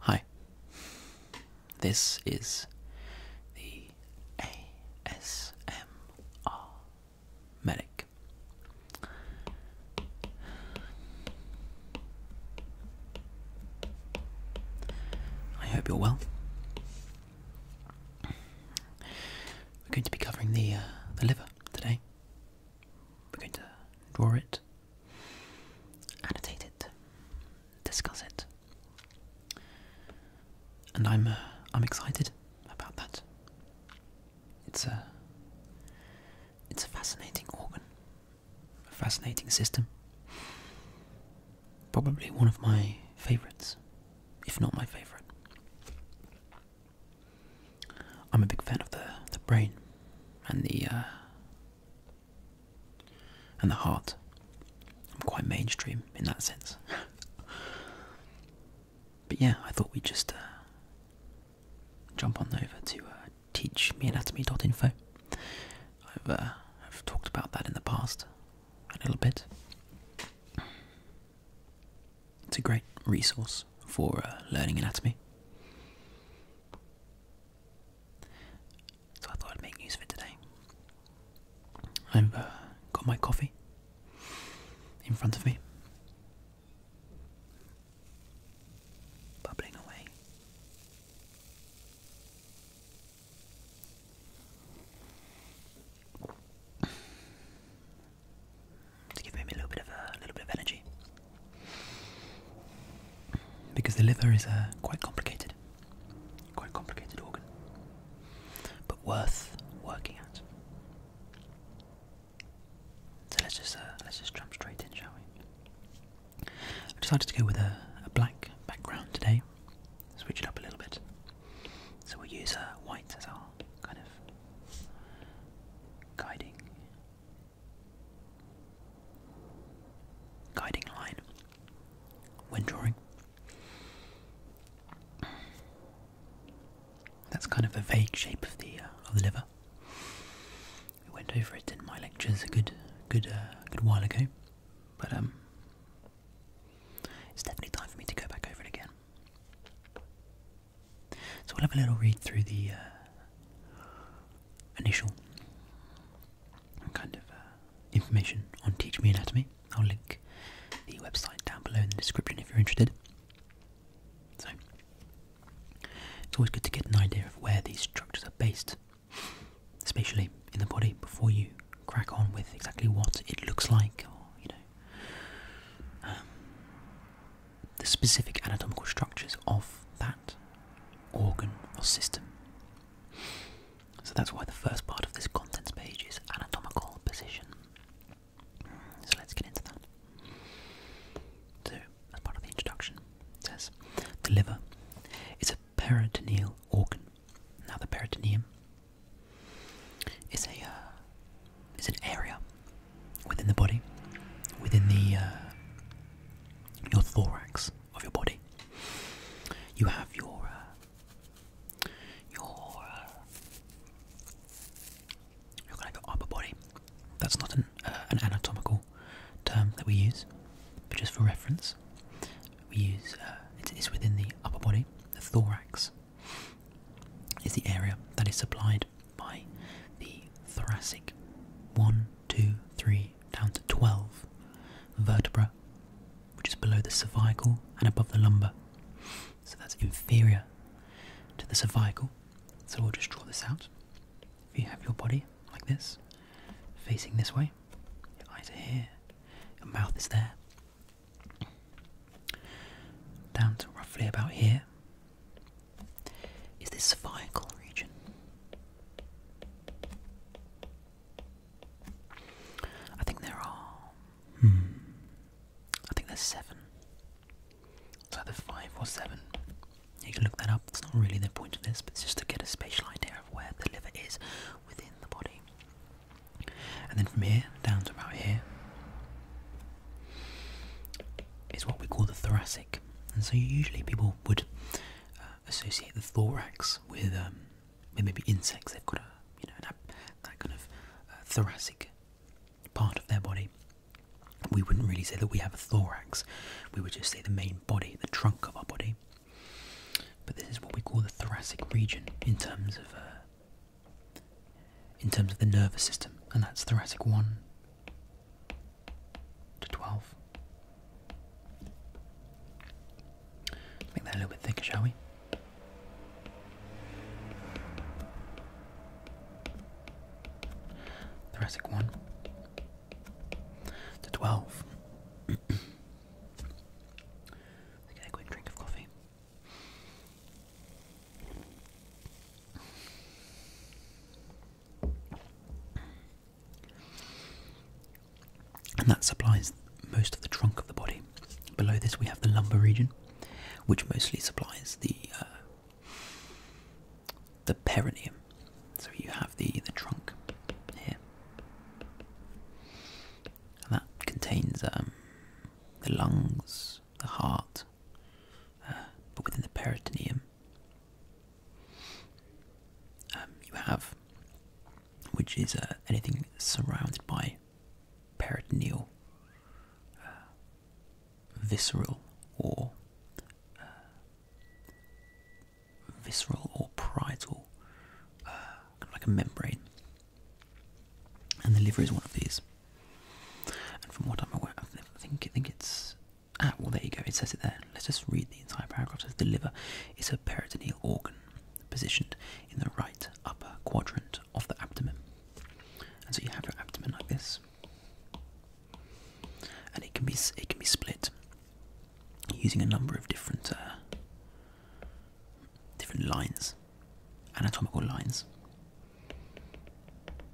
Hi, this is the ASMR Medic. I hope you're well. We're going to be covering the uh, the liver today. We're going to draw it, annotate it, discuss it, and I'm uh, I'm excited about that. It's a it's a fascinating organ, a fascinating system. Probably one of my favourites, if not my favourite. I'm a big fan of the the brain and the uh, and the heart. I'm quite mainstream in that sense. but yeah, I thought we'd just uh, jump on over to uh, teachmeanatomy.info. I've uh, I've talked about that in the past a little bit. It's a great resource for uh, learning anatomy. So I thought I'd make use of it today. I've uh, got my coffee in front of me, bubbling away to give me a little bit of a little bit of energy because the liver is a quite complicated, quite complicated organ, but worth working at. So let's just uh, let's just jump straight in, shall we? I decided to go with a, black background today, switch it up a little bit. So we'll use uh, white as our kind of guiding Guiding line when drawing. That's kind of a vague shape of the uh, of the liver. We went over it in my lectures a good good uh, good while ago, but um, it's definitely time for me to go back over it again. So we'll have a little read through the uh, initial kind of uh, information on Teach Me Anatomy. I'll link the website down below in the description if you're interested. So it's always good to get an idea of where these structures are based spatially in the body before you crack on with exactly what it looks like you know um, the specific anatomical structures of that organ or system. So that's why the first part of this content page is anatomical position. So let's get into that. So, as part of the introduction, it says the liver is a peritoneal organ. Now, the peritoneum is a uh, is an area within the body, within the uh, your thorax of your body. You have your uh, your uh, your kind of upper body. That's not an an anatomical term that we use, but just for reference, we use it's within the upper body. The thorax is the area that is supplied by the thoracic 1, 2, 3, down to 12 vertebra, which is below the cervical and above the lumbar. So that's inferior to the cervical. So i will just draw this out. If you have your body like this, facing this way, your eyes are here, your mouth is there, down to roughly about here, is this cervical region? I think there are. Hmm. I think there's seven. So either five or seven. You can look that up. It's not really the point of this, but it's just to get a spatial idea of where the liver is within the body. And then from here down to about here is what we call the thoracic. And so usually people would uh, associate the thorax um, with, maybe insects. They've got a you know that, kind of uh, thoracic part of their body. We wouldn't really say that we have a thorax. We would just say the main body, the trunk of our body. But this is what we call the thoracic region in terms of uh, in terms of the nervous system, and that's thoracic one, to 12. make that a little bit thicker, shall we? Thoracic 1 to 12. get a quick drink of coffee. And that supplies most of the trunk of the body. Below this, we have the lumbar region, which mostly supplies the uh, the perineum. So you have the the trunk here, and that contains um, the lungs, the heart, uh, but within the peritoneum, um, you have, which is uh, anything surrounded by peritoneal, uh, visceral, or visceral or parietal, like a membrane. And the liver is one of these. And from what I'm aware, I think I think it's Ah, well, there you go. It says it there. Let's just read the entire paragraph. It says the liver is a peritoneal organ positioned in the right upper quadrant of the abdomen. And so you have your abdomen like this, and it can be it can be split using a number of different uh, different lines, anatomical lines.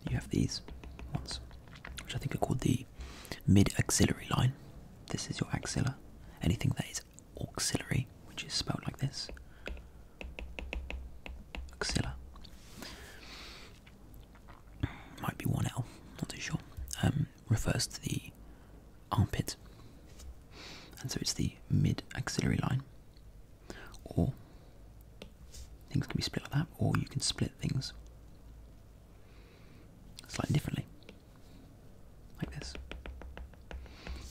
You have these ones, which I think are called the mid axillary line. This is your axilla. Anything that is auxiliary, which is spelled like this axilla. Might be 1L, not too sure. Um, refers to the armpit, and so it's the mid axillary line, or Things can be split like that, or you can split things slightly differently, like this,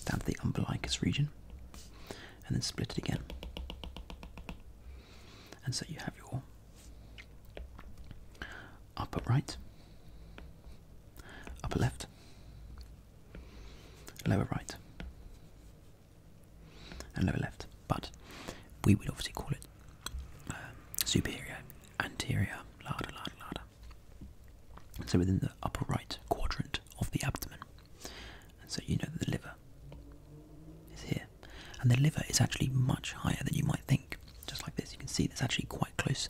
down to the umbilicus region, and then split it again. And so you have your upper right, upper left, lower right, and lower left, but we would obviously call it uh, superior, anterior, larder, larder, larder. so within the upper right quadrant of the abdomen. And so you know that the liver is here. And the liver is actually much higher than you might think. Just like this, you can see that's actually quite close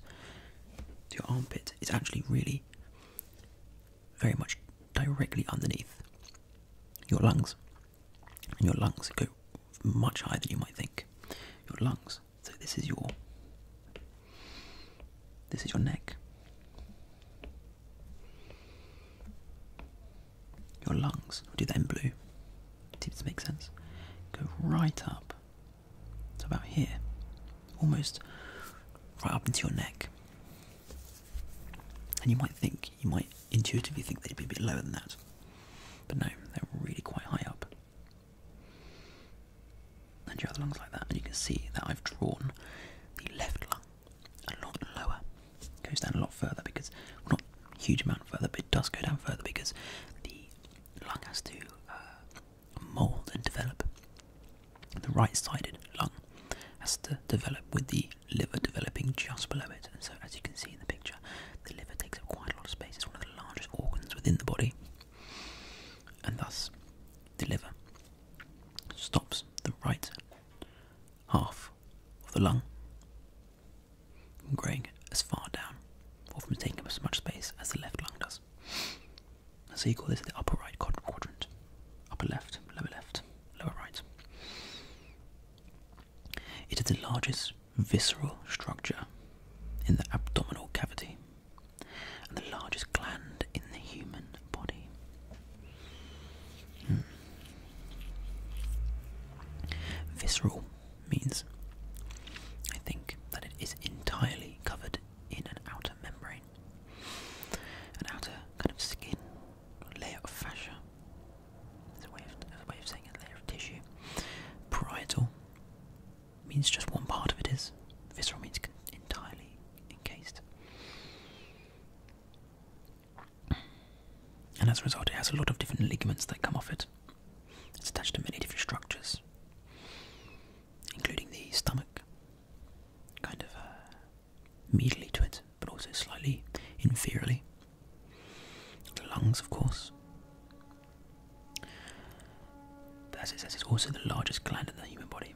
to your armpit. It's actually really very much directly underneath your lungs. And your lungs go much higher than you might think. Your lungs. So this is your this is your neck. Your lungs. I'll do them blue. See if this makes sense. Go right up. It's about here. Almost right up into your neck. And you might think, you might intuitively think they'd be a bit lower than that. But no, they're really quite high up. And your other lungs like that, and you can see that I've drawn the left lung a lot lower. goes down a lot further because, not a huge amount further, but it does go down further because the lung has to uh, mould and develop. The right-sided lung has to develop with the liver developing just below it. And so, as you can see in the picture, the liver takes up quite a lot of space. It's one of the largest organs within the body, and thus the liver stops the right half of the lung from growing as far down or from taking up as much space as the left lung does. so you call this the upper right quadrant, upper left, lower left, lower right. It is the largest visceral structure in the abdominal cavity and the largest gland in the human body. Hmm. Visceral means, I think, that it is entirely covered in an outer membrane, an outer kind of skin layer of fascia. It's a way of, a way a layer of tissue. Parietal means just one part of it is. Visceral means entirely encased. And as a result, it has a lot of different ligaments that come off it. It's attached to many different structures, including the stomach, kind of uh, medially to it, but also slightly inferiorly. The lungs, of course. As it says, it's also the largest gland in the human body.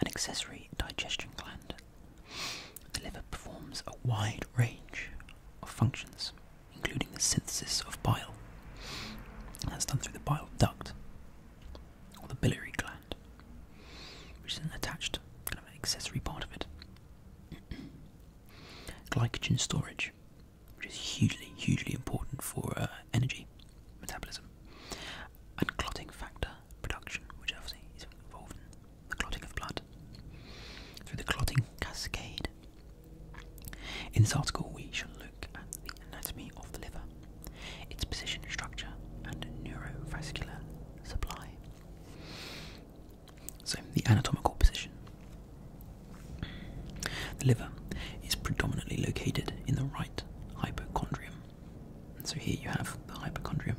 An accessory digestion gland. The liver performs a wide range of functions, including the synthesis of bile. that's done through the bile duct or the biliary gland which is an attached kind of accessory part of it. Glycogen storage, which is hugely, hugely important for uh, energy metabolism, and clotting factor production, which obviously is involved in the clotting of blood through the clotting cascade. In this article, we shall look at the anatomy of the liver, its position, structure, and neurovascular supply. So, the anatomical position. The liver is predominantly located in the right hypochondrium. So, here you have the hypochondrium.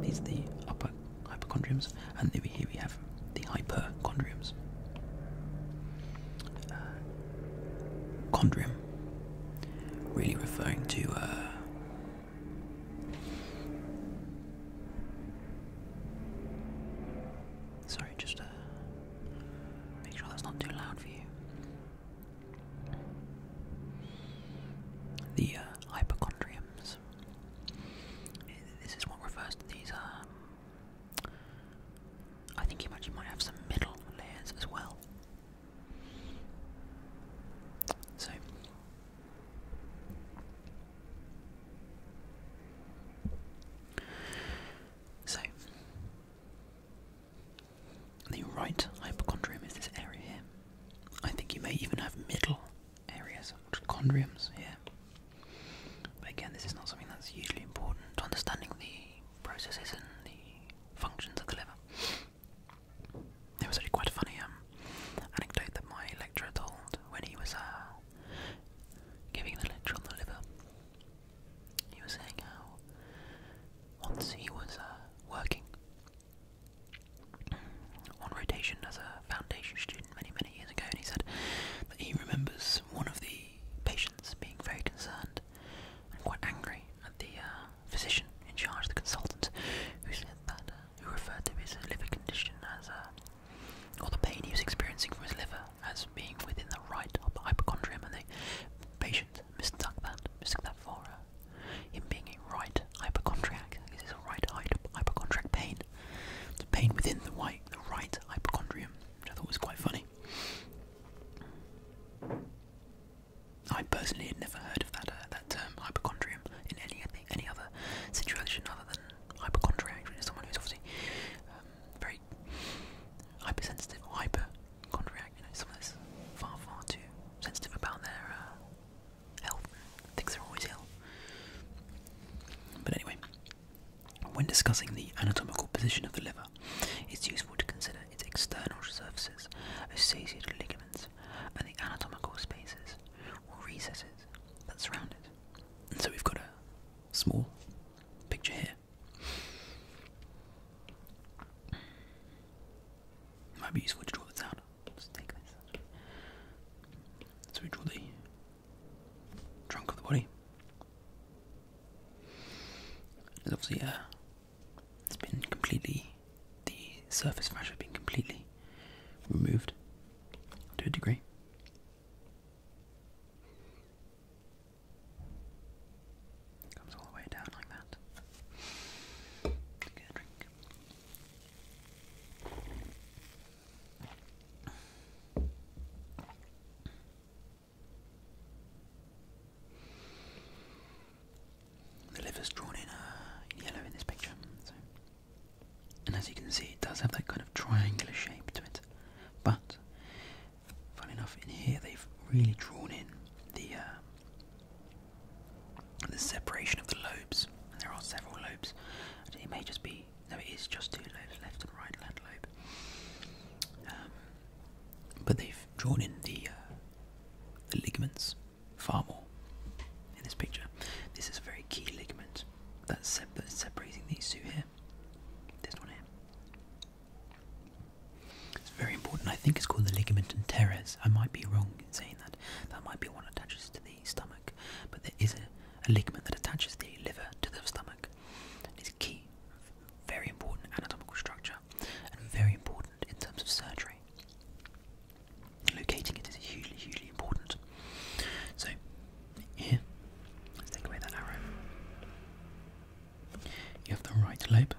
These are the upper hypochondriums, and over here we have the hyperchondriums. Uh, chondrium, really referring to uh, Sorry, just uh, make sure that's not too loud for you. The uh, hypochondriums. This is what refers to these. Um, I think you actually might have some middle layers as well. So so the right hypochondrium is this area here. I think you may even have middle areas, of chondriums here. But again, this is not something that's usually important to understanding the processes and the functions of the liver. It was actually quite a funny um, anecdote that my lecturer told when he was uh, giving the lecture on the liver. He was saying how once he was uh, working on rotation as a foundation student many, many years ago, and he said that he remembers one of the patients being very concerned and quite angry at the uh, physician in charge, the consultant, who said that, uh, who referred to his liver condition as, uh, or the pain he was experiencing from his liver as being within the right upper hypochondrium, and the patient mistook that, mistook that for uh, him being a right hypochondriac, because it's a right hypochondriac pain, pain within the, white, the right hypochondrium, which I thought was quite funny. I personally had never heard of that uh, that term hypochondrium in any any other situation other than hypochondriac, which is someone who's obviously um, very hypersensitive or hypochondriac. You know, someone that's far far too sensitive about their uh, health, Things are always ill. But anyway, when discussing the anatomical position of the liver, it's useful to consider its external surfaces, associated ligaments and the anatomical spaces or recesses that surround it. And so we've got a small picture here. might be useful to draw this out. Let's take this. So we draw the trunk of the body. There's obviously a it's been completely, the surface rash has been completely removed to a degree. comes all the way down like that. let drink. The liver is drawn in yellow in this picture. And as you can see, it does have that kind of triangular shape to it. But, fun enough, in here they've really drawn in the uh, the separation of the lobes. there are several lobes. it may just be, no, it is just two lobes, left and right left lobe. Um, but they've drawn in the uh, the ligaments far more in this picture. This is a very key ligament that's, separating these two here. This one here. It's very important. I think it's called the ligament teres. I might be wrong in saying that. That might be one that attaches to the stomach, but there is a, ligament that attaches the liver to the stomach. It's a key, very important anatomical structure, and very important in terms of surgery. Locating it is hugely, hugely important. So, here, let's take away that arrow. You have the right lobe,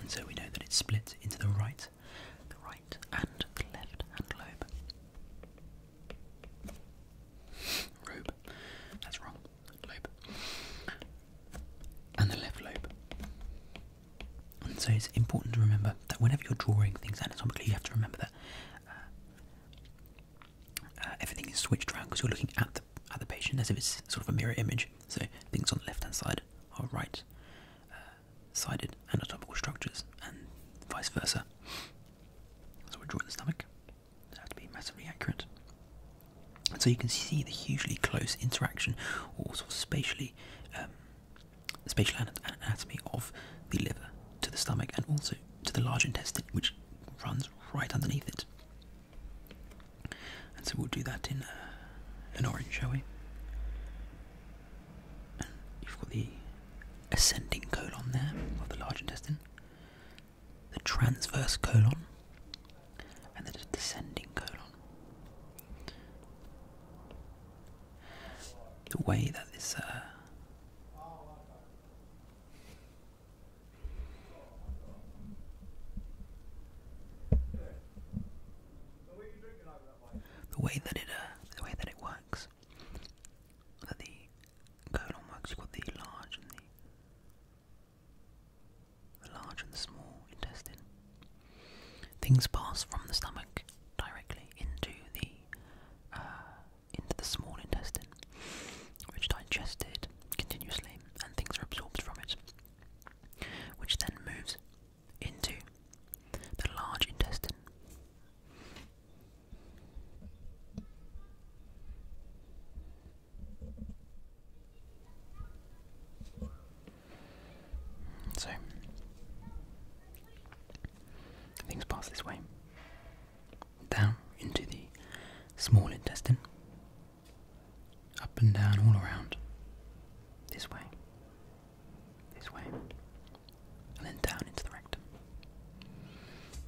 and so we know that it's split into the right, the right, and the left hand lobe. Robe. That's wrong. Lobe. And the left lobe so it's important to remember that whenever you're drawing things anatomically, you have to remember that uh, uh, everything is switched around because you're looking at the at the patient as if it's sort of a mirror image. So things on the left hand side are right uh, sided anatomical structures, and vice versa. So we're drawing the stomach. They have to be massively accurate. so you can see the hugely close interaction, or sort of spatially um, spatial anatomy of the liver to the stomach and also to the large intestine, which runs right underneath it. And so we'll do that in uh, an orange, shall we? you've got the ascending colon there of the large intestine, the transverse colon, and the descending colon the way that this uh, the way that it uh, the way that it works that the colon works you've got the large and the large and the small intestine Things pass from the stomach directly into the uh, into the small intestine, which digested continuously, and things are absorbed from it, which then moves into the large intestine. So, things pass this way down into the small intestine, up and down all around, this way, this way, and then down into the rectum,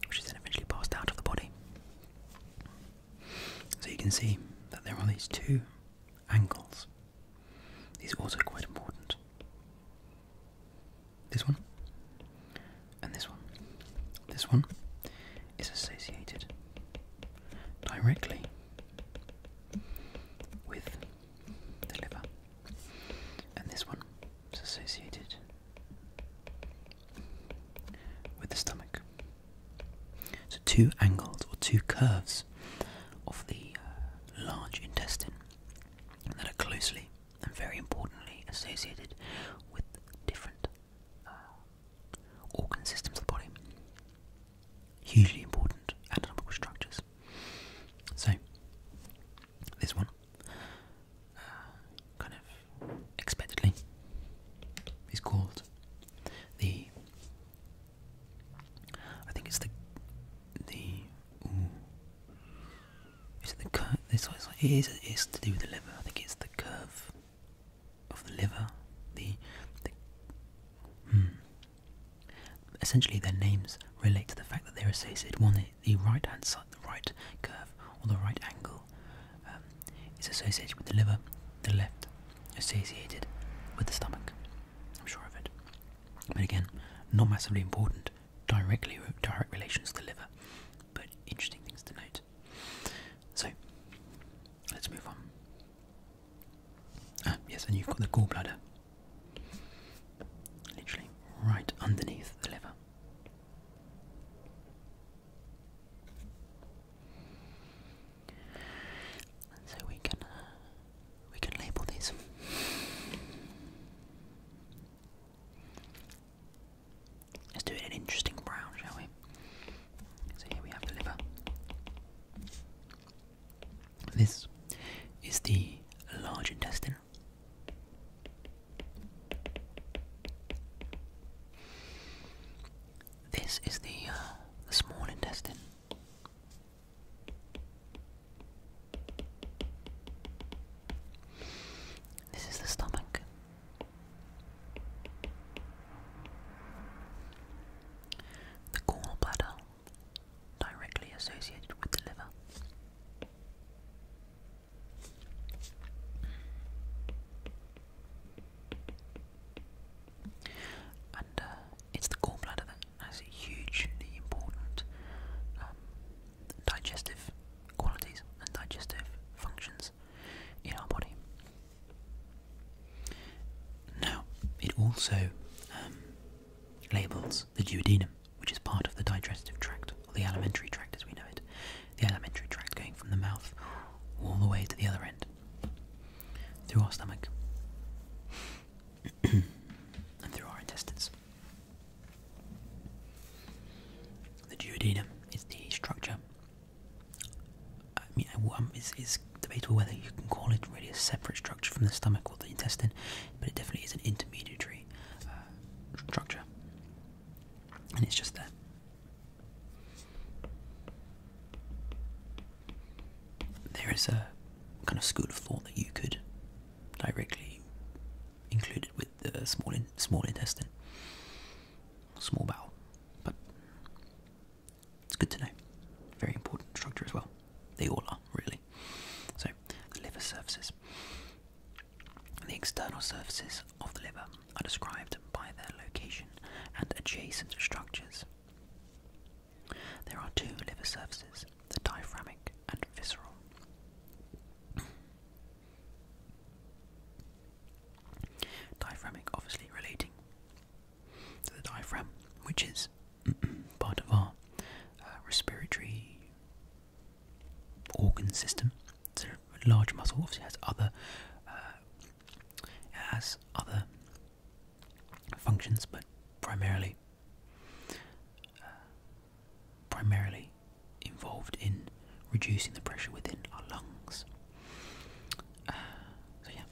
which is then eventually passed out of the body. So you can see that there are these two angles is also quite important. This one and this one. This one is associated directly with the liver, and this one is associated with the stomach. So, two angles or two curves of the uh, large intestine that are closely and very importantly associated with different uh, organ systems of the body. Hugely important anatomical structures. So, this one, uh, kind of expectedly, is called the I think it's the the Is it the curve? This it's like, to do with the liver. I think it's the curve of the liver. The, hmm. Essentially, their names relate to the fact that they're associated. One, the right hand side, the right curve or the right angle, um, is associated with the liver. The left, associated with the stomach. I'm sure of it. But again, not massively important, directly direct relations to the liver, but interesting things to note. So, let's move on. Ah, yes, and you've got the gallbladder, literally right underneath the liver. So we can uh, we can label these. Let's do it an interesting brown, shall we? So here we have the liver. This is the large intestine. This is the, uh, the small intestine. This is the stomach. The gallbladder, directly associated with the liver. And uh, it's the gallbladder that has hugely important um, digestive qualities and digestive functions in our body. Now, it also um, labels the duodenum, which is part of the digestive tract, or the alimentary tract as we know it, the alimentary tract going from the mouth all the way to the other end through our stomach. and through our intestines. The duodenum is the structure. I mean, it's, um, debatable whether you can call it really a separate structure from the stomach or the intestine, but it definitely is an intermediary uh, structure, and it's just there there is a kind of school of thought that you could directly include it with the small intestine, small bowel, but it's good to know. Very important structure as well. They all are really. So the liver surfaces. The external surfaces of the liver are described by their location and adjacent structures. There are two liver surfaces, the diaphragmatic and visceral. Diaphragmatic, obviously relating to the diaphragm, which is part of our uh, respiratory organ system. It's a large muscle, obviously has other, uh, has other functions, but primarily uh, primarily involved in reducing the pressure within our lungs. Uh, so yeah,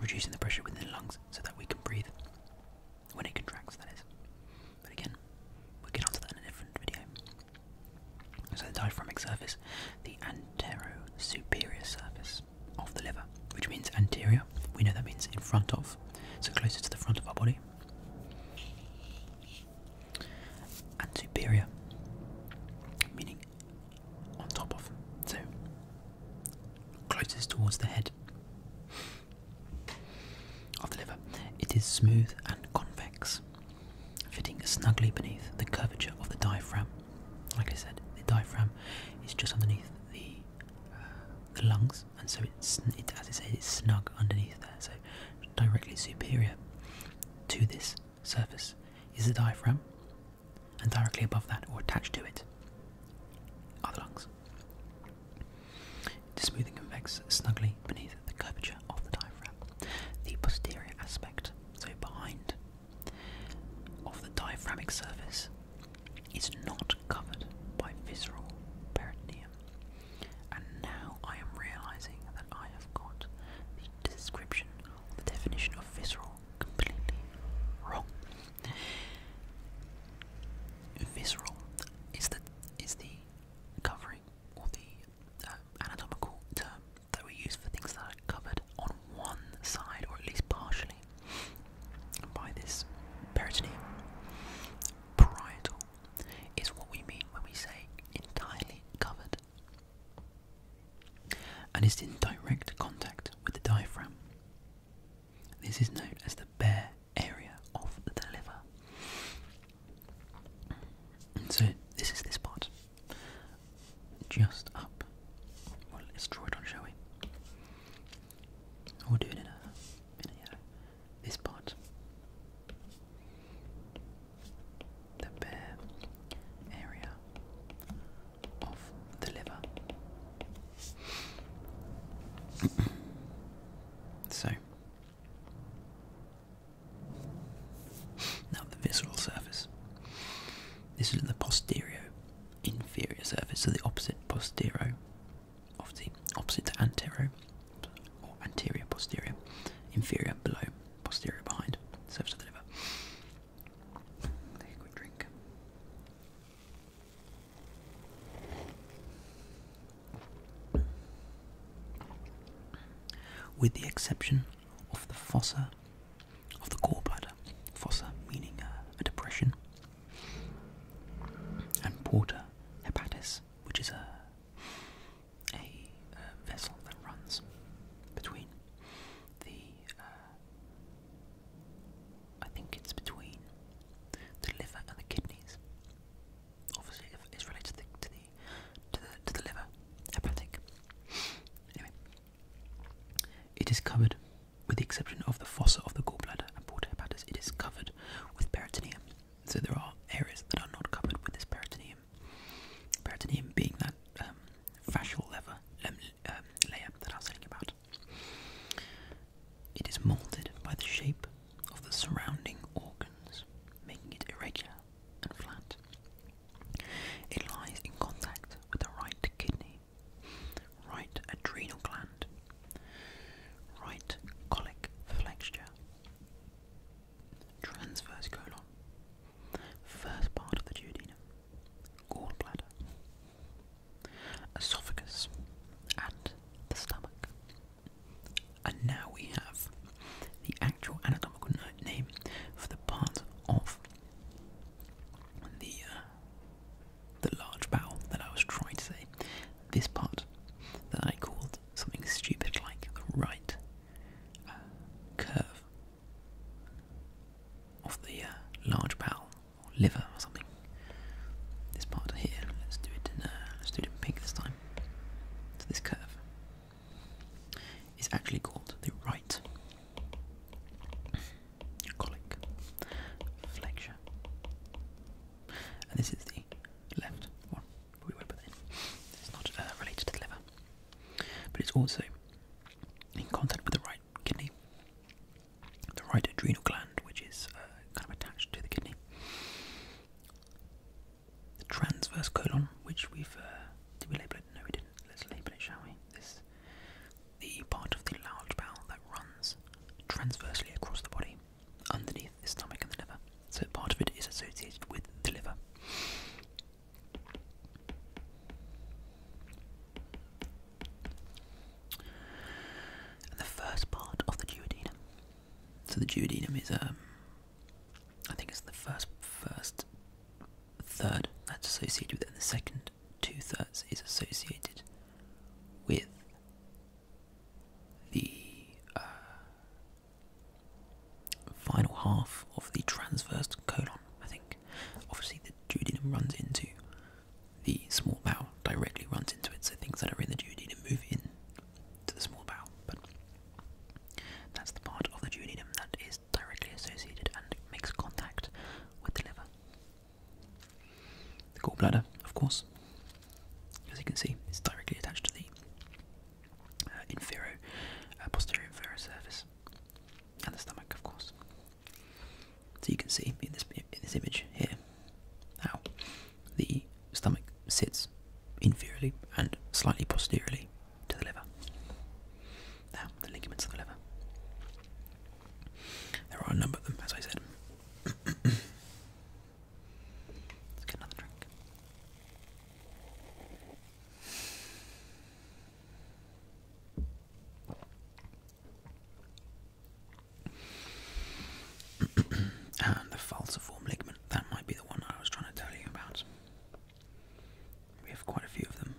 reducing the pressure within lungs so that we can breathe when it contracts, that is. But again, we'll get onto that in a different video. So the diaphragmic surface, the antero superior surface of the liver, which means anterior. We know that means in front of, so closer to the front of our body. And superior, meaning on top of, so closest towards the head of the liver. It is smooth and convex, fitting snugly beneath the curvature of the diaphragm. Like I said, the diaphragm is just underneath the the lungs, and so it's it, as I say, it's snug underneath there. So directly superior to this surface is the diaphragm, and directly above that, or attached to it, are the lungs. It is smooth and convex, snugly beneath the curvature of the diaphragm. The posterior aspect, so behind, of the diaphragmic surface is not covered by visceral peritoneum. And now I am realizing that I have got the description, the definition of visceral completely wrong. Visceral is the is the covering or the uh, anatomical term that we use for things that are covered on one side or at least partially by this peritoneum. Parietal is what we mean when we say entirely covered and is in direct contact with the diaphragm. This is known as the bare area of the liver. so this is this part. Just up. Well, let's draw it on, shall we? We'll do it in a, in a, yeah, uh, this part. The bare area of the liver. so, now the visceral surface. This is the posterior inferior surface, so the opposite posterior obviously opposite to anterior or anterior posterior, inferior below, posterior behind, surface of the liver. Take a quick drink. With the exception of the fossa of the gallbladder, fossa meaning uh, a depression, and porta hepatis, which is a a, uh, vessel that runs between the uh, I think it's between the liver and the kidneys. Obviously, it's related to the to the to the, to the liver, hepatic. Anyway, it is covered with the exception of the fossa of the gallbladder and portal hepatis, it is covered with peritoneum. So there are areas that are not covered with this peritoneum. Peritoneum being that um, fascial um, um, layer that I was telling about. It is molded by the shape of the surrounding organs, making it irregular and flat. It lies in contact with the right kidney right adrenal gland, right colic flexure, transverse colon, first part of the duodenum, gallbladder, esophagus, and the stomach. And now we have the actual anatomical name for the part of the uh, the large vowel that I was trying to say. This part that I called something stupid like the right uh, curve of the uh, large vowel or liver or something. This part here. Let's do it in uh, let's do it in pink this time. So this curve is actually called the right colic, flexure. And this is the left one. We won't put in. It's not uh, related to the liver, but it's also in contact with the right kidney, the right adrenal gland, which is uh, kind of attached to the kidney, the transverse colon, which we've uh, did we label it? No, we didn't. Let's label it, shall we? This the part of the large bowel that runs transversely across the body, underneath the stomach and the liver. So part of it is associated with the liver. the first part of the duodenum. So the duodenum is a, um, I think it's the first first third that's associated with it, and the second two thirds is associated with the uh, final half of the transverse colon, I think. Obviously, the duodenum runs into the small bowel, directly runs into it, so things that are in the duodenum move in to the small bowel. But that's the part of the duodenum that is directly associated and makes contact with the liver. The gallbladder, of course, as you can see, is directly attached to the uh, inferior, uh, posterior inferior surface, and the stomach, of course. So you can see in this in this image here how the stomach sits inferiorly and slightly posteriorly to the liver. Now the ligaments of the liver. There are a number of them, as I said. Let's get another drink. and the falciform ligament, that might be the one I was trying to tell you about. We have quite a few of them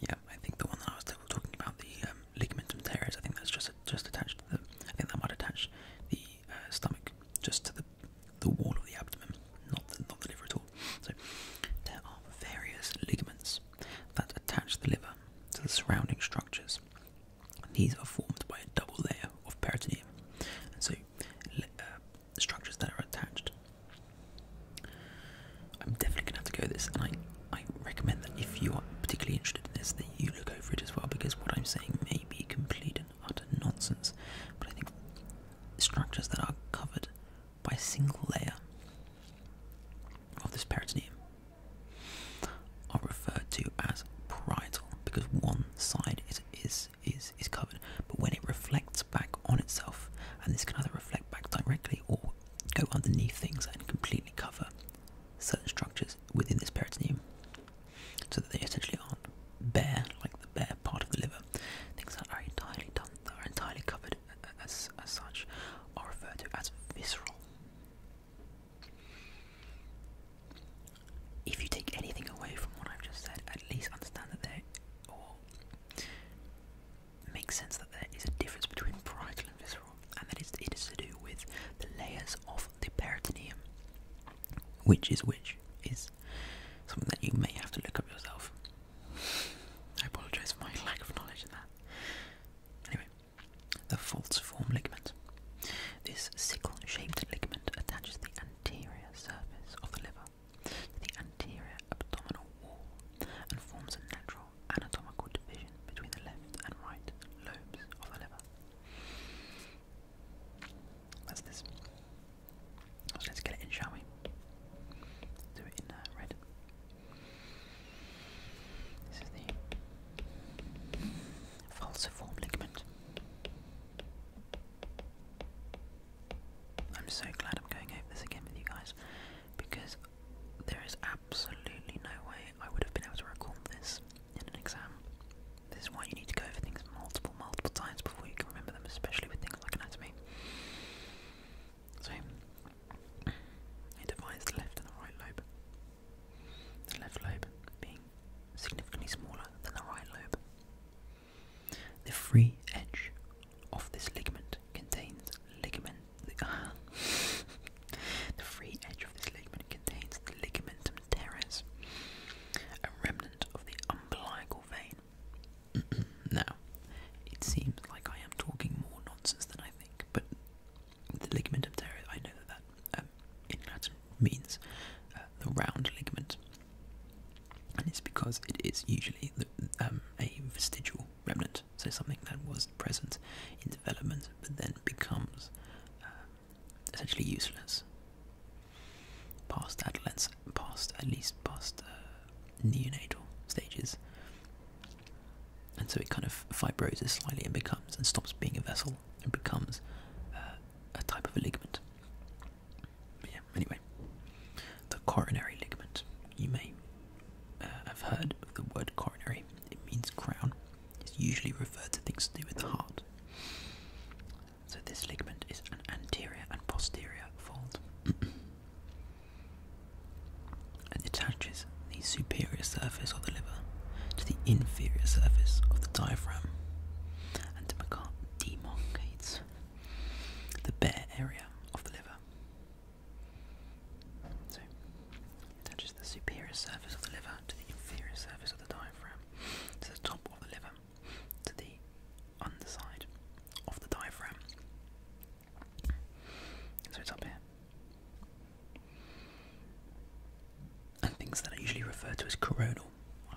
yeah, I think the one that I was talking about, the um, ligamentum teres, I think that's just just attached to the. I think that might attach the uh, stomach just to the the wall of the abdomen, not the, not the liver at all. So there are various ligaments that attach the liver to the surrounding structures. These are formed by a double layer of peritoneum, so uh, structures that are attached I'm definitely gonna have to go this, and I I recommend that if you are particularly interested in this, that you look over it as well, because what I'm saying may be complete and utter nonsense, but I think structures that are covered by a single layer of this peritoneum are referred to as parietal because one side is is is is covered, but when it reflects back on itself, and this can either reflect back directly or go underneath things and completely cover certain structures within this peritoneum so that they essentially aren't bare, like the bare part of the liver. Things that are entirely done, that are entirely covered as, as such are referred to as visceral. If you take anything away from what I've just said, at least understand that there, or makes sense that there is a difference between parietal and visceral, and that it is to do with the layers of the peritoneum. Which is which is something that you may have to look up yourself. I apologise for my lack of knowledge in that. Anyway, the false form ligament. This sickle-shaped ligament attaches the anterior surface of the liver to the anterior abdominal wall and forms a natural anatomical division between the left and right lobes of the liver. That's this. let's get it in, shall we? Do it in uh, red. This is the falciform ligament. I'm so glad I'm going over this again with you guys because there is absolutely no way I would have been able to recall this in an exam. This is why you need to go over things multiple, multiple times before you can remember them, especially with things like anatomy. So, it divides the left and the right lobe. The left lobe being significantly smaller than the right lobe. The free edge of this ligament contains ligament the, free edge of this ligament contains the ligamentum teres, a remnant of the umbilical vein. now, it seems like I am talking more nonsense than I think, but the ligamentum teres, I know that that um, in Latin means uh, the round ligament, and it's because it is usually um, a vestigial remnant present. So something that was present in development but then becomes uh, essentially useless. Past adolescence, past at least past uh, neonatal stages, and so it kind of fibroses slightly and becomes and stops being a vessel and becomes uh, a type of ligament. yeah. Anyway, the coronary ligament. You may I've heard of the word coronary. It means crown. It's usually referred to things to do with the heart. So this ligament is an anterior and posterior fold. and attaches the superior surface of the liver to the inferior surface of the diaphragm and demarcates the bare area of the liver. So, it attaches the superior surface of the liver to the inferior surface of the diaphragm, to the top of the liver, to the underside of the diaphragm. So it's up here. And things that are usually referred to as coronal,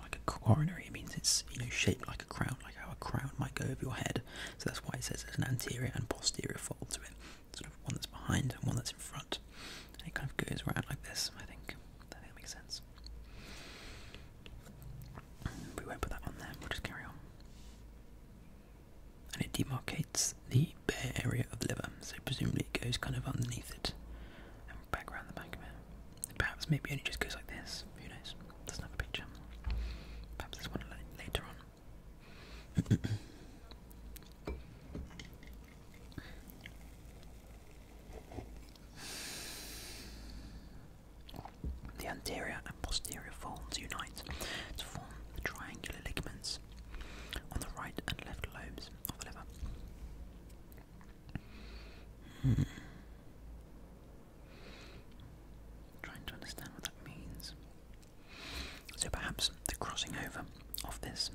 like a coronary, it means it's you know shaped like a crown, like how a crown might go over your head. So that's why it says there's an anterior and posterior fold to it sort of one that's behind and one that's in front. And it kind of goes around like this, I think. I that makes sense. We won't put that on there, we'll just carry on. And it demarcates the bare area of the liver, so presumably it goes kind of underneath it and back around the back of it. Perhaps maybe only just goes like this, who knows? Doesn't picture. Perhaps there's one later on. the anterior and posterior folds unite to form the triangular ligaments on the right and left lobes of the liver. Hmm. Trying to understand what that means. So perhaps the crossing over of this,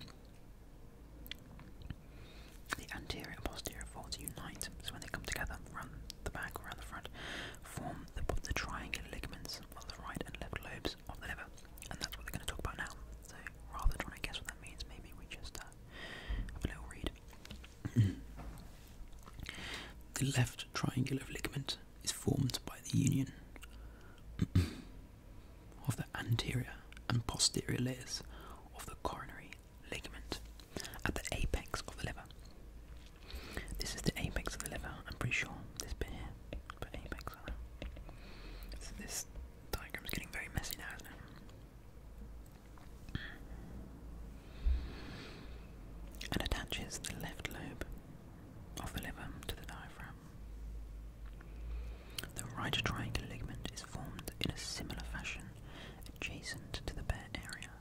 the anterior and posterior folds unite, so when they come together, run the back around the front, form the, the triangular ligaments of the right and left lobes of the liver, and that's what they're going to talk about now. So rather than guess what that means, maybe we just uh, have a little read. the left triangular ligament is formed by the union of the anterior and posterior layers of the coronary ligament at the apex of the liver. This is the apex of the liver, I'm pretty sure. This bit here, but apex. So this diagram is getting very messy now, And attaches the left lobe of the liver to the diaphragm. The right triangular ligament is formed in a similar fashion adjacent to the bare area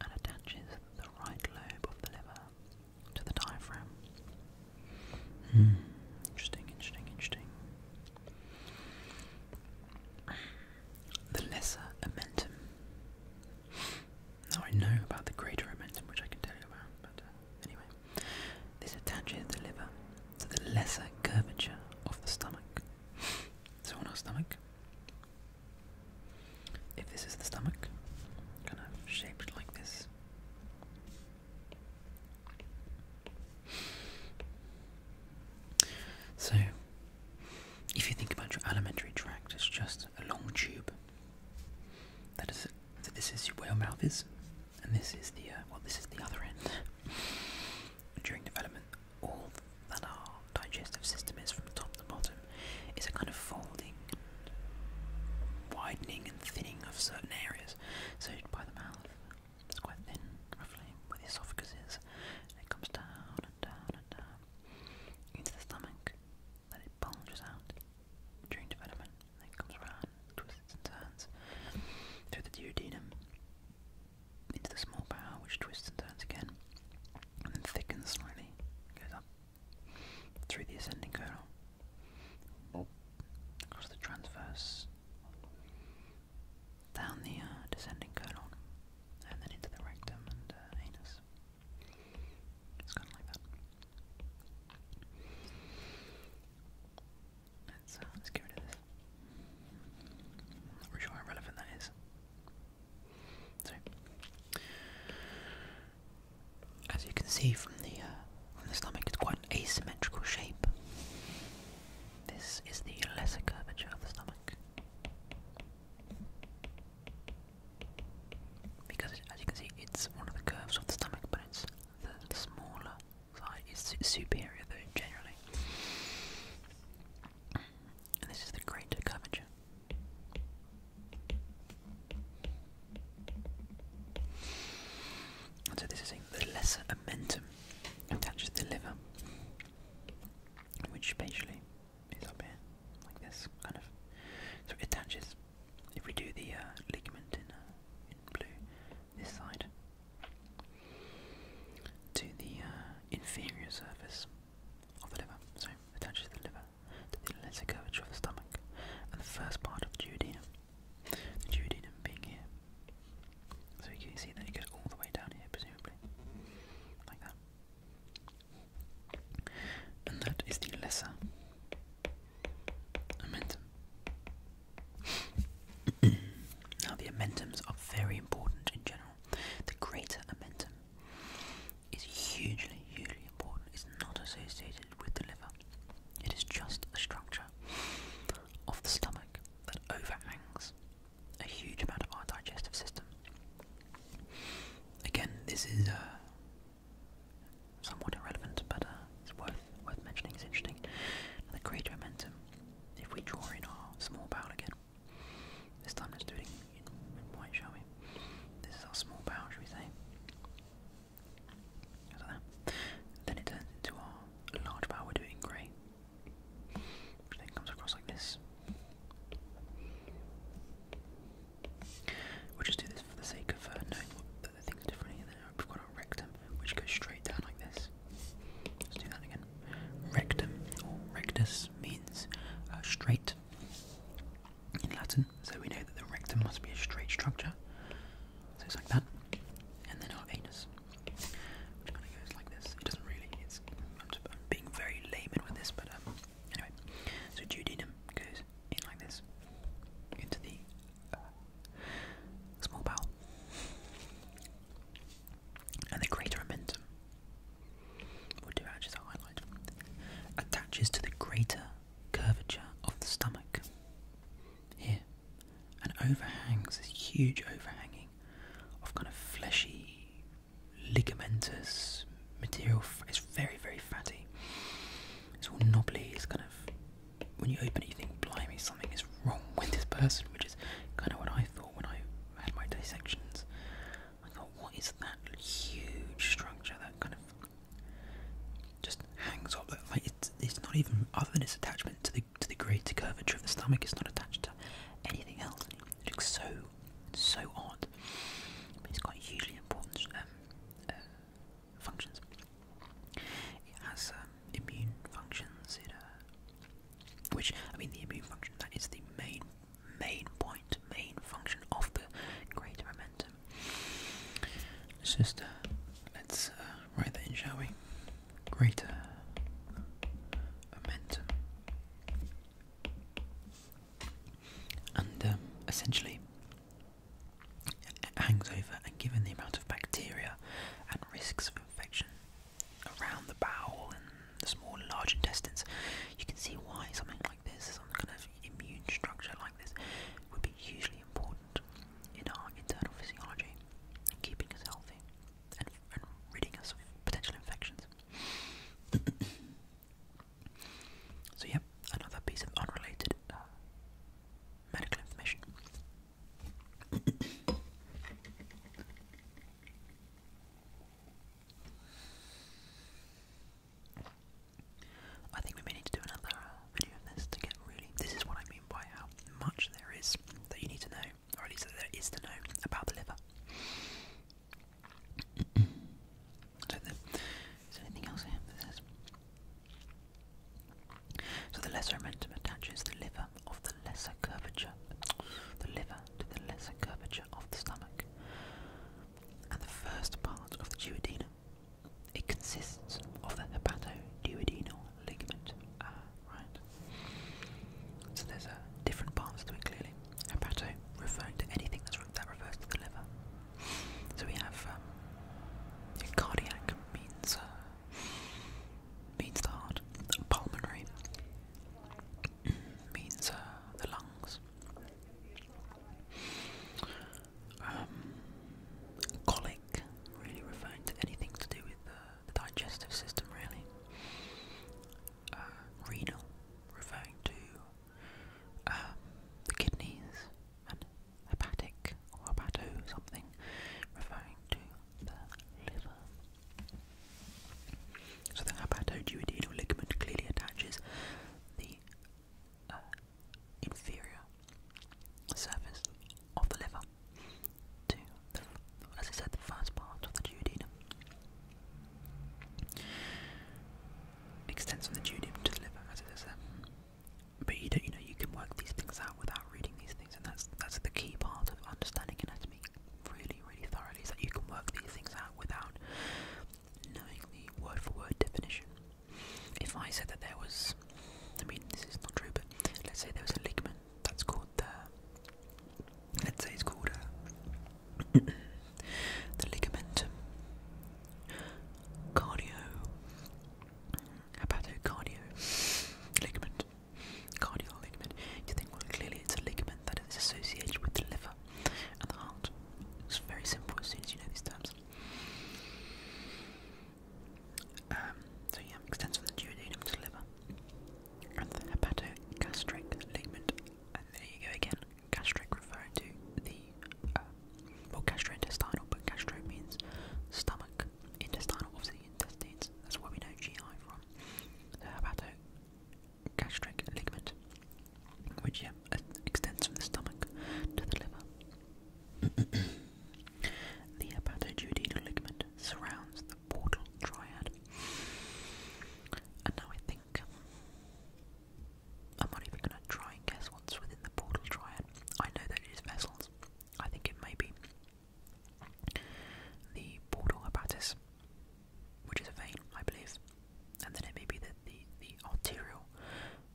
and attaches the right lobe of the liver to the diaphragm. Hmm. Interesting, interesting, interesting. The lesser Now I know about the greater which I can tell you about, but uh, anyway. This attaches the liver to the lesser curvature of the stomach. So on our stomach, if this is the stomach, kind of shaped like this. So, if you think about your alimentary tract, it's just a long tube that is it. So this is where your mouth is, and this is the uh, well, this is the other end. During development, all that our digestive system is from top to bottom is a kind of folding, widening, and thinning of certain areas. So by the mouth, it's quite thin, roughly where the esophagus is, it comes down and down and down into the stomach, that it bulges out during development and comes around, twists and turns through the duodenum into the small bowel, which twists and turns again, and thickens slightly, goes up through the ascending colon, oh. across the transverse, down the uh, descending colon, and then into the rectum and uh, anus. It's kind of like that. Let's, let's get rid this. not sure how relevant that is. So, as you can see from the uh, from the stomach, it's quite an asymmetrical shape. This is the lesser curvature of the stomach, because as you can see, it's one of the curves of the stomach, but it's the smaller side is superior though generally. And this is the greater curvature. so this is the lesser omentum attaches to the liver, which spatially is up here, like this, kind of. So it attaches if we do the uh, ligament uh, in, blue, this side, to the uh, inferior surface of the liver, so attaches the liver to the lesser curvature of the stomach and the first part of the duodenum, the duodenum being here. So you can see that it goes all the way down here, presumably, like that. And that is the lesser now, the ammentums are very important in general. The greater amentum is hugely, hugely important. It's not associated with the liver, it is just a structure of the stomach that overhangs a huge amount of our digestive system. Again, this is a. Uh, somewhat irrelevant, but uh, it's worth worth mentioning. It's interesting. The creator momentum. If we draw in our small bound again, this time let's do it in, white, shall we? This is our small bound, shall we say? That. Then it turns into our large bow, we do it grey. Which then comes across like this. We'll just do this for the sake of uh, knowing what the things are differently, and then We've got our rectum, which goes straight down like this. Let's do that again. Rectum, or rectus, means uh, straight in Latin, so we know that the rectum must be a straight structure. So it's like that. And then our anus, which kind of goes like this. It doesn't really, I'm, being very layman with this, but um, anyway. So duodenum goes in like this into the uh, small bowel, and the greater omentum, or highlight, attaches to the greater curvature of the stomach. Here, and overhangs this huge overhanging of kind of fleshy, ligamentous material. It's very, very fatty. It's all knobbly. It's kind of when you open it, you think, blimey, something is wrong with this person, which is kind of what I thought when I had my dissections. I thought, what is that huge structure that kind of just hangs off. Like it's, it's not even other than its attachment to the to the greater curvature of the stomach. It's not attached to anything else. It looks so so odd. But it's got hugely important um, uh, functions. It has um, immune functions, it, uh, which I mean the immune function that is the main main point, main function of the greater momentum. just let's uh, write that in, shall we? Greater momentum, and um, essentially hangs over, and given the amount of bacteria and risks of infection around the bowel and the small and large intestines, you can see why something like this, some kind of immune structure like this, would be hugely important in our internal physiology, in keeping us healthy and, ridding us of potential infections. so, yep, another piece of unrelated uh, medical information. I think we may need to do another uh, video of this to get really. This is what I mean by how much there is that you need to know, or at least that there is to know about the liver. is there anything else here so the lesser momentum attaches the liver of the lesser curvature, the liver to the lesser curvature of the stomach, and the first part of the duodenum. It consists of the hepatoduodenal ligament. Ah, right. So there's a different parts to it clearly. Hepato referring to anything that refers to the liver. So we have um, cardiac means uh, means the heart, pulmonary means uh, the lungs, um, colic really referring to anything to do with the, digestive system, really. Uh, renal referring to um, the kidneys hepatic or hepato something, referring to the liver. So the hepatoduodenal ligament clearly attaches the uh, inferior surface of the liver to, as I said, the first part of the duodenum. Extends from the duodenum to the liver, as it is there. But you don't, you know, you can work these things out without reading these things, and that's that's the key part of understanding anatomy really, really thoroughly. Is that you can work these things out without knowing the word for word definition. If I said that there was, I mean, this is not true, but let's say there was a ligament that's called the, let's say it's called a, uh, the ligamentum cardio how ligament? Cardio ligament. You think, well, clearly it's a ligament that is associated with the liver and the heart. It's very simple as soon as you know these terms. Um, so yeah, extends from the duodenum to the liver. And the hepatogastric ligament. And there you go again. Gastric referring to the uh, well, gastrointestinal, means stomach, intestinal, obviously intestines, that's where we know GI from. So how gastric ligament, which yeah, uh, extends from the stomach to the liver. the hepatoduodenal ligament surrounds the portal triad. And now I think um, I'm not even gonna try and guess once within the portal triad. I know that it is vessels. I think it may be the portal hepatis, which is a vein, I believe, and then it may be the, the, the arterial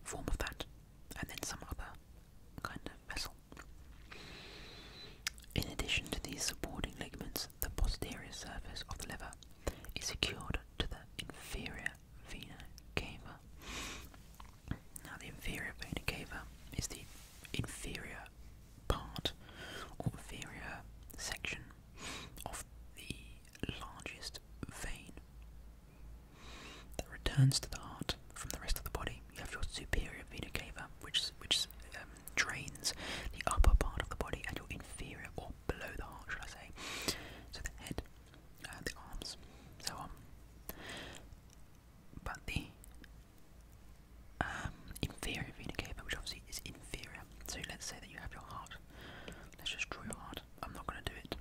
form of that, and then some other kind of vessel. In addition to these supporting ligaments, the posterior surface of the liver is secured to the inferior vena cava now, the inferior vena cava is the inferior part or inferior section of the largest vein that returns to the heart from the rest of the body. You have your superior vena cava, which which um, drains the upper part of the body, and your inferior or below the heart, should I say? So the head, uh, the arms, so on. Um, but the um, inferior vena cava, which obviously is inferior, so let's say that you have your heart. Let's just draw your heart. I'm not going to do it.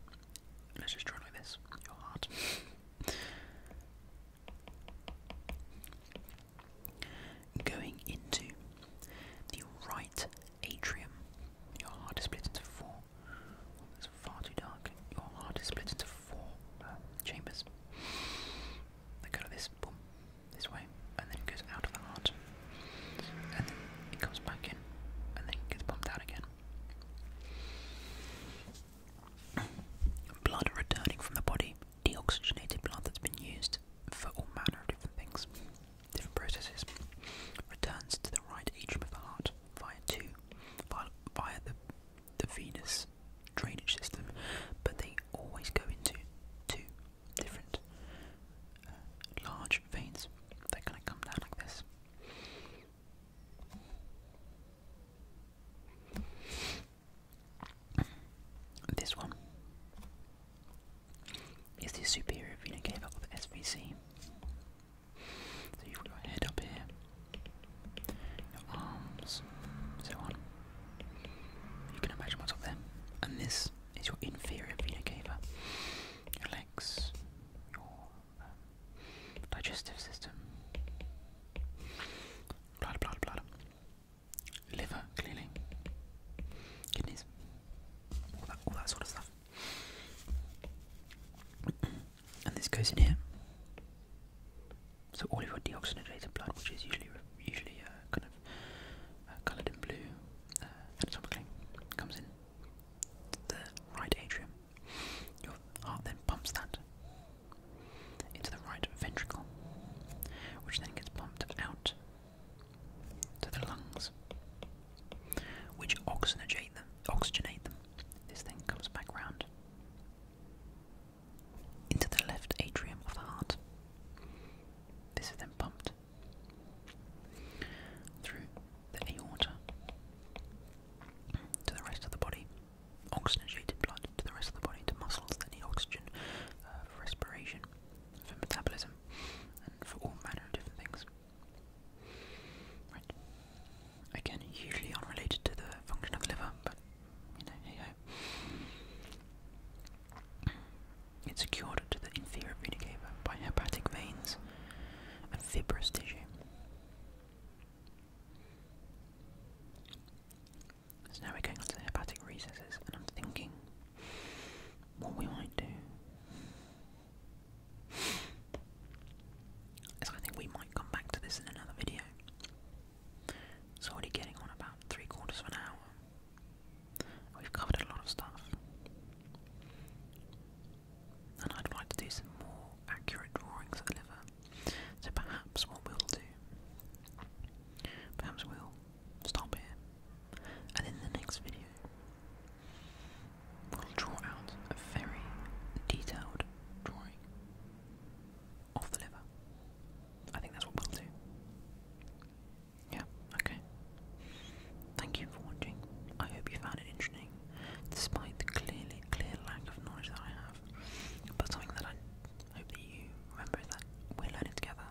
Let's just draw like this. Your heart. Going into the right atrium, your heart is split into four that's far too dark. Your heart is split into four uh, chambers. They go this way, and then it goes out of the heart, and then it comes back in, and then it gets pumped out again. Blood returning from the body, deoxygenated blood that's been used for all manner of different things, different processes, returns to the right atrium of the heart via two via, the, the venous drainage system, but they always go into two different uh, large veins that kind of come down like this. This one is the superior vena cava, or the SVC. So you've got your head up here, your arms, so on. You can imagine what's up there. And this is your inferior vena cava, your legs, your um, digestive system, blood, blood, blood, liver, clearly, kidneys, all that, all that sort of stuff and this goes in here. So all of your deoxygenated blood, which is usually usually uh, kind of uh, coloured in blue uh, anatomically, comes in the right atrium. Your heart then pumps that into the right ventricle, which then gets pumped out to the lungs, which oxygenate them oxygenate them. This thing comes back round into the left atrium of the heart. This is then pumped through the aorta to the rest of the body, oxygenated blood to the rest of the body, to muscles They need oxygen uh, for respiration, for metabolism, and for all manner of different things. Right. Again, hugely unrelated to the function of the liver, but you know, hey ho. It's secured to the inferior vena cava by hepatic veins and fibrous tissue. So now we're going on to the hepatic recesses, and I'm thinking what we might do so I think we might come back to this in another video. It's already getting on about three quarters of an hour. We've covered a lot of stuff. And I'd like to do some more accurate drawings of the liver. So perhaps what we'll do, perhaps we'll stop here. And in the next video, will draw out a very detailed drawing of the liver. I think that's what we'll do. Yeah, okay. Thank you for watching. I hope you found it interesting, despite the clearly clear lack of knowledge that I have. But something that I hope that you remember is that we're learning together.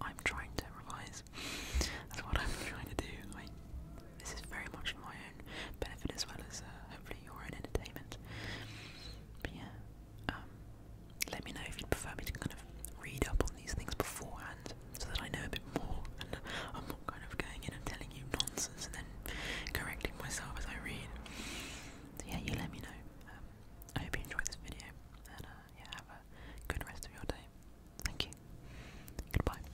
I'm trying to revise. That's what I'm trying to do this is very much for my own benefit as well as uh, hopefully your own entertainment. But yeah, um, let me know if you'd prefer me to kind of read up on these things beforehand so that I know a bit more and I'm not kind of going in and telling you nonsense and then correcting myself as I read. So yeah, you let me know. Um, I hope you enjoyed this video and uh, yeah, have a good rest of your day. Thank you. Goodbye.